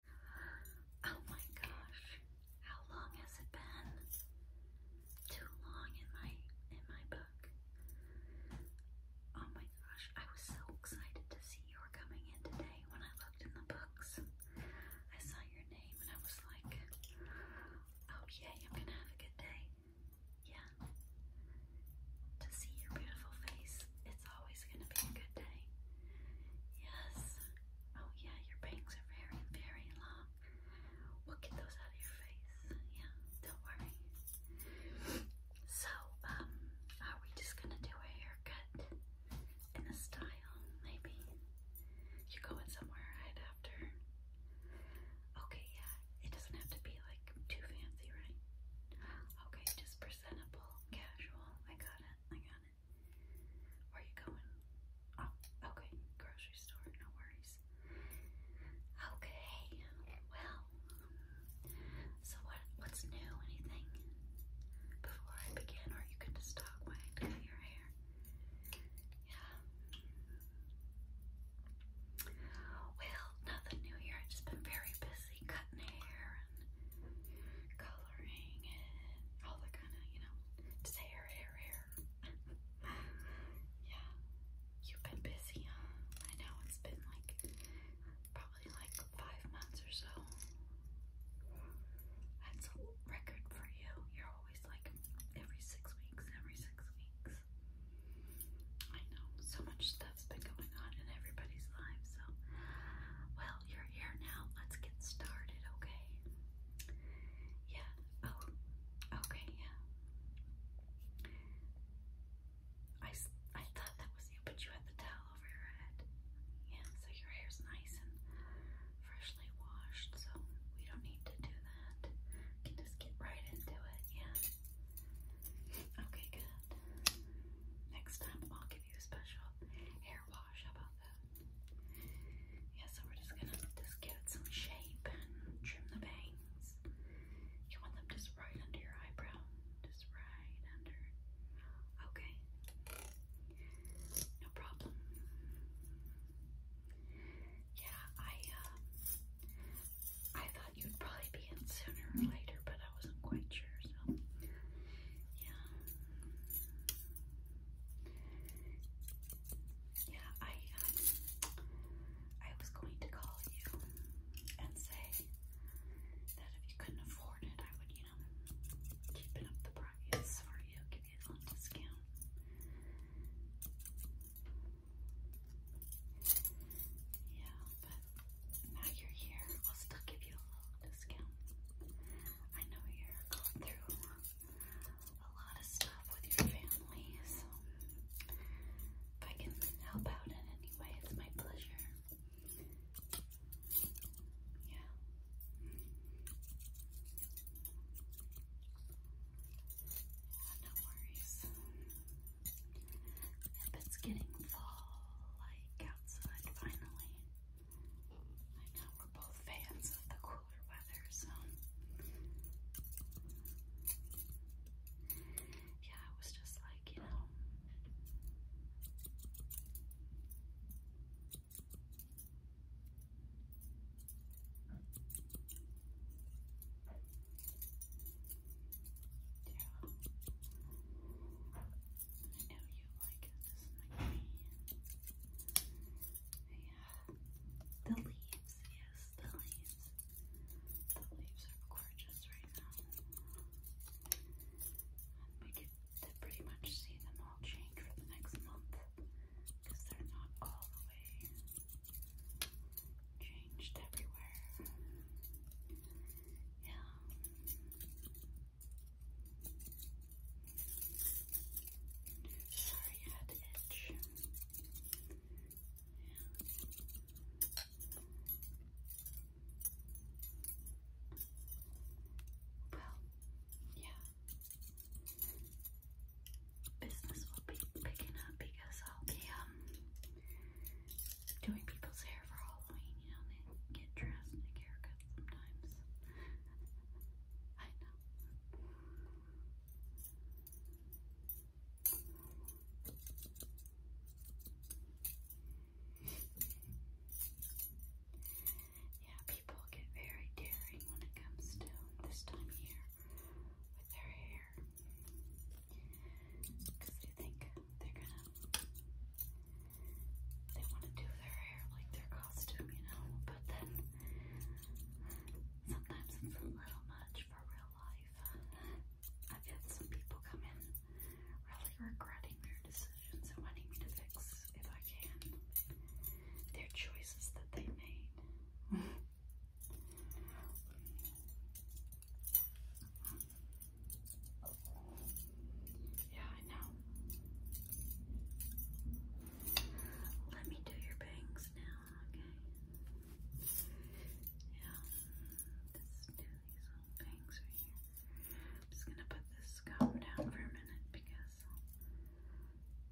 Oh my gosh, how long has it been? Too long in my in my book. Oh my gosh, I was so excited to see you were coming in today. When I looked in the books, I saw your name and I was like, oh yay, I'm gonna have a good day. Yeah. To see your beautiful face it's always going to be a good day. Yes. Oh, yeah, your bangs are very, very long. We'll get those out of your face. Yeah, don't worry. So, um, are we just going to do a haircut and a style, maybe? you going somewhere right after. Okay, yeah, it doesn't have to be like too fancy, right? Okay, just presentable, casual. I got it. I got where are you going? Oh, okay. Grocery store, no worries. Okay, well, so what? what's new? Anything? Before I begin, or you can just talk while I do your hair. Yeah. Well, nothing new here. I've just been very busy cutting hair coloring and all that kind of, you know, just hair, hair, hair. yeah. You've been busy, huh? I know it's been like probably like five months or so. That's a record for you. You're always like every six weeks, every six weeks. I know, so much stuff stuff's been going on in everybody's life. So, well, you're here now. Let's get started, okay? Yeah. Oh, okay, yeah. I, I thought that was you, but you had the towel over your head. Yeah, so your hair's nice and freshly washed, so we don't need to do that. can just get right into it, yeah. Okay, good. Next time I'll give you a special hair wash. about that? Yeah, so we're just gonna just give it some shape and trim the bangs. You want them just right under your eyebrow. Just right under. Okay. No problem. Yeah, I uh, I thought you'd probably be in sooner or later, but I wasn't quite sure, so yeah. Yeah, I um, I was going to call you and say that if you couldn't afford it, I would, you know, keep it up the price for you, give you a little discount. Yeah but now you're here, I'll still give you a little discount. I know you're going through a lot of stuff with your family, so if I can help out in any way, it's my pleasure. Yeah. Yeah, no worries it's getting fall like outside finally. I know we're both fans of the cooler weather, so yeah, it was just like, you know. I know you like This Yeah. The leaves, yes, the leaves. The leaves are gorgeous right now. And we get to pretty much see them all change for the next month because they're not all the way changed everywhere. Yeah. Sorry, I had to itch. Yeah. Well, yeah. Business will be picking up because I'll be um doing people's hair for Halloween, you know, they get dressed and they get sometimes. I know. Yeah, people get very daring when it comes to this time of year with their hair here because think they're gonna they want to do their hair like their costume, you know. But then sometimes it's a little much for real life. I've some people come really regretting their decisions and wanting me to fix, if I can, their choices that they made. Yeah, I know. Let me do your bangs now, okay? Yeah, let do these little bangs right here. I'm just gonna put this comb down for a minute because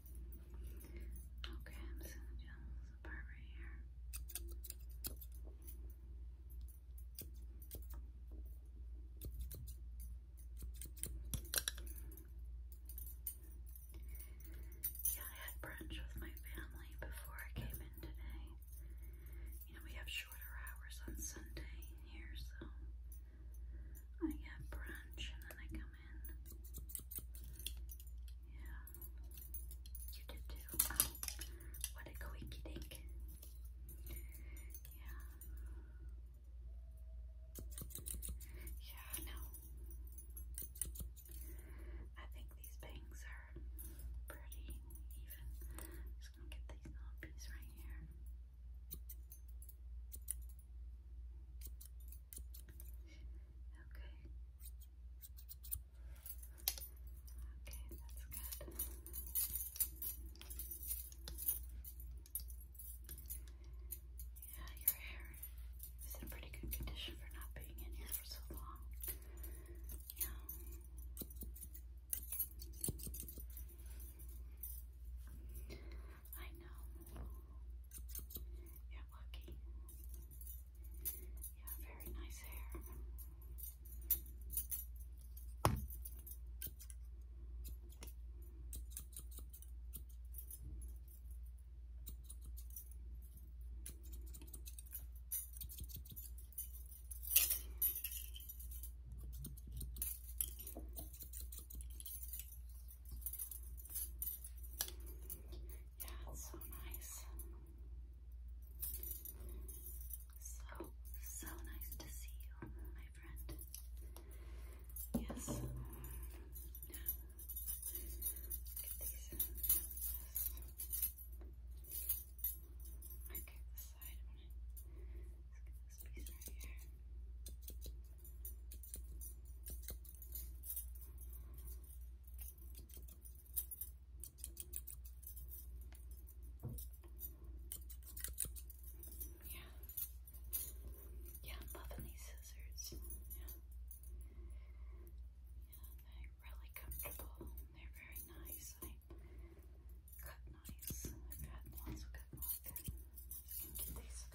Okay, I'm just gonna jam this apart right here. Yeah, I had brunch with my family before I came in today. You know, we have shorter hours on Sunday here, so I have brunch and then I come in. Yeah. You did too. what a quickie dink. Yeah. Yeah, no. I think these bangs are pretty even. just gonna get these little piece right here. Yeah, your hair is in pretty good condition for not being in here for so long. Yeah. I know. You're lucky. You have very nice hair. Yeah, it's so nice. So, so nice to see you, my friend. Yes. Yeah. Get these in. Yes. Okay, this side. I'm gonna just get this piece right here. Yeah. Yeah, I'm loving these scissors. Yeah. Yeah, they're really comfortable. They're very nice. I cut nice. I've had lots of bit get these,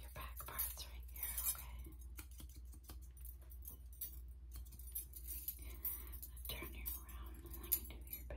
your back parts right here, okay? Turn you around and I do your back.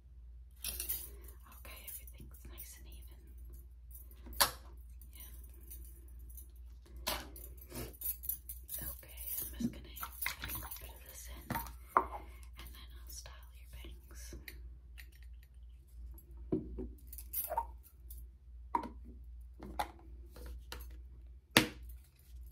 Okay, everything's nice and even. Yeah. Okay, I'm just gonna put this in and then I'll style your bangs.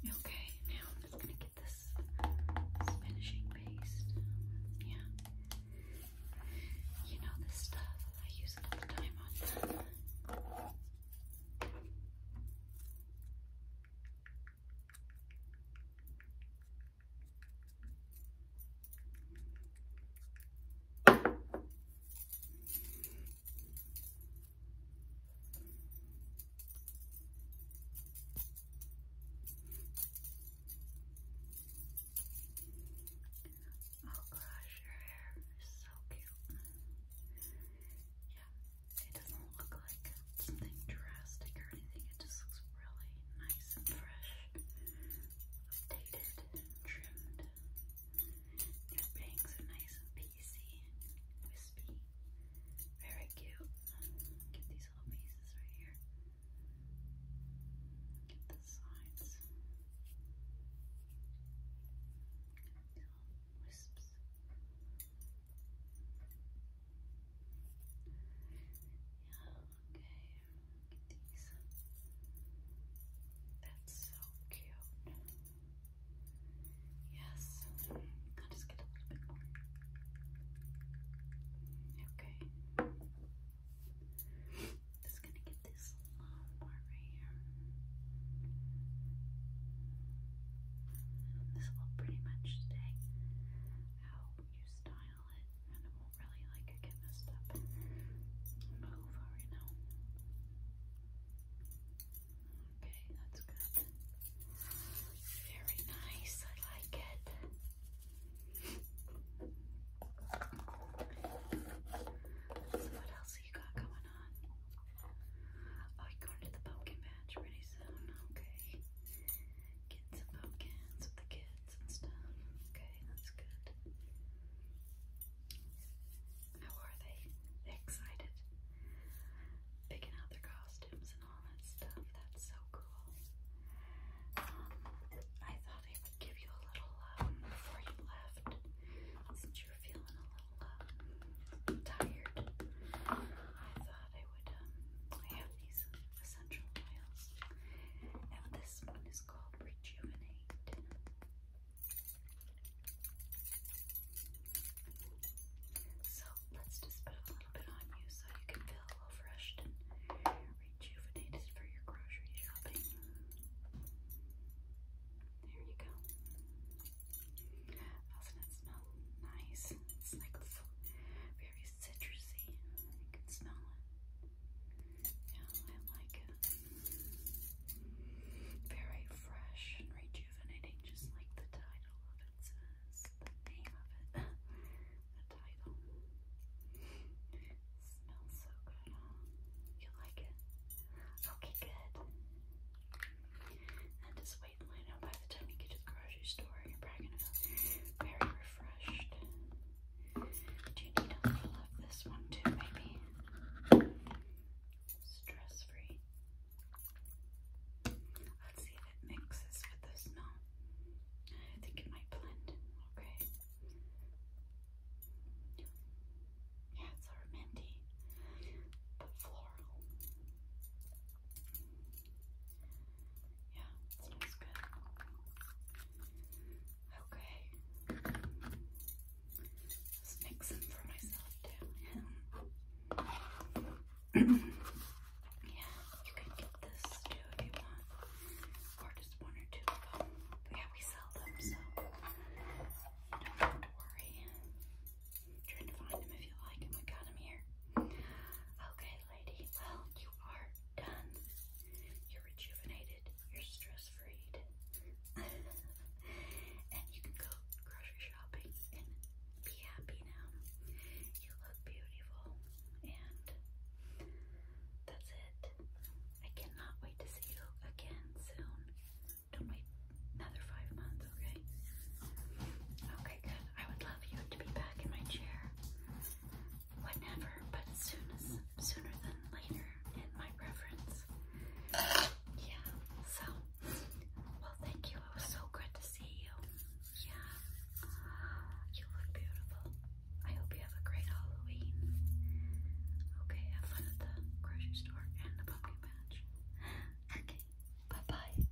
Okay, now I'm just gonna get this, finishing paste. Yeah. You know this stuff, I use it all the time on Oh gosh, your hair is so cute. Yeah, it doesn't look like something drastic or anything. It just looks really nice and fresh, updated and trimmed. Their bangs are nice and pacey, wispy, very cute. Get these little pieces right here. Get the sides. Little wisps. Yeah, okay. Look at these. That's so cute. Yes. I'll just get a little bit more. Okay. Just gonna get this a little more right here. This will pretty much stay how you style it, and it will really like it getting messed up move right now. Okay, that's good. Very nice, I like it. So what else you got going on? Oh, going to the pumpkin patch pretty soon, okay. Get some pumpkins with the kids and Okay, that's good. How are they? They're excited. Picking out their costumes and all that stuff. That's so cool. Um, I thought I would give you a little um, before you left, since you were feeling a little um, tired. I thought I would um, have these essential oils, and this one is is So let's just put a little bit on you so you can feel refreshed and rejuvenated for your grocery shopping. There you go. Doesn't it smell nice? It's like very citrusy. You smell it. Yeah, I like it. Very fresh and rejuvenating, just like the title of it says, the name of it, the title. It smells so good. You like it? Okay, good. And just wait in line out by the time you get to the grocery store. You're probably going to feel very refreshed. Very do you need a little of this one too, maybe? Stress free. Let's see if it mixes with this now. I think it might blend. Okay. Yeah, it's our minty, but floral. Yeah, smells good. Okay. Just make some for myself too. Yeah. you can get this too if you want. Or just one or two yeah, we sell them, so don't have to worry. trying to find them if you like. Oh my god, i here. Okay, lady. Well, you are done. You're rejuvenated. You're stress freed. and you can go grocery shopping and be happy now. You look beautiful. And that's it. I cannot wait to see you again soon. Don't wait another five months, okay? Okay, good. I would love you to be back in my chair whenever, but soon as, sooner than later in my reference, Yeah, so, well, thank you. It was so good to see you. Yeah, you look beautiful. I hope you have a great Halloween. Okay, have fun at the grocery store and the pumpkin patch. Okay, bye bye.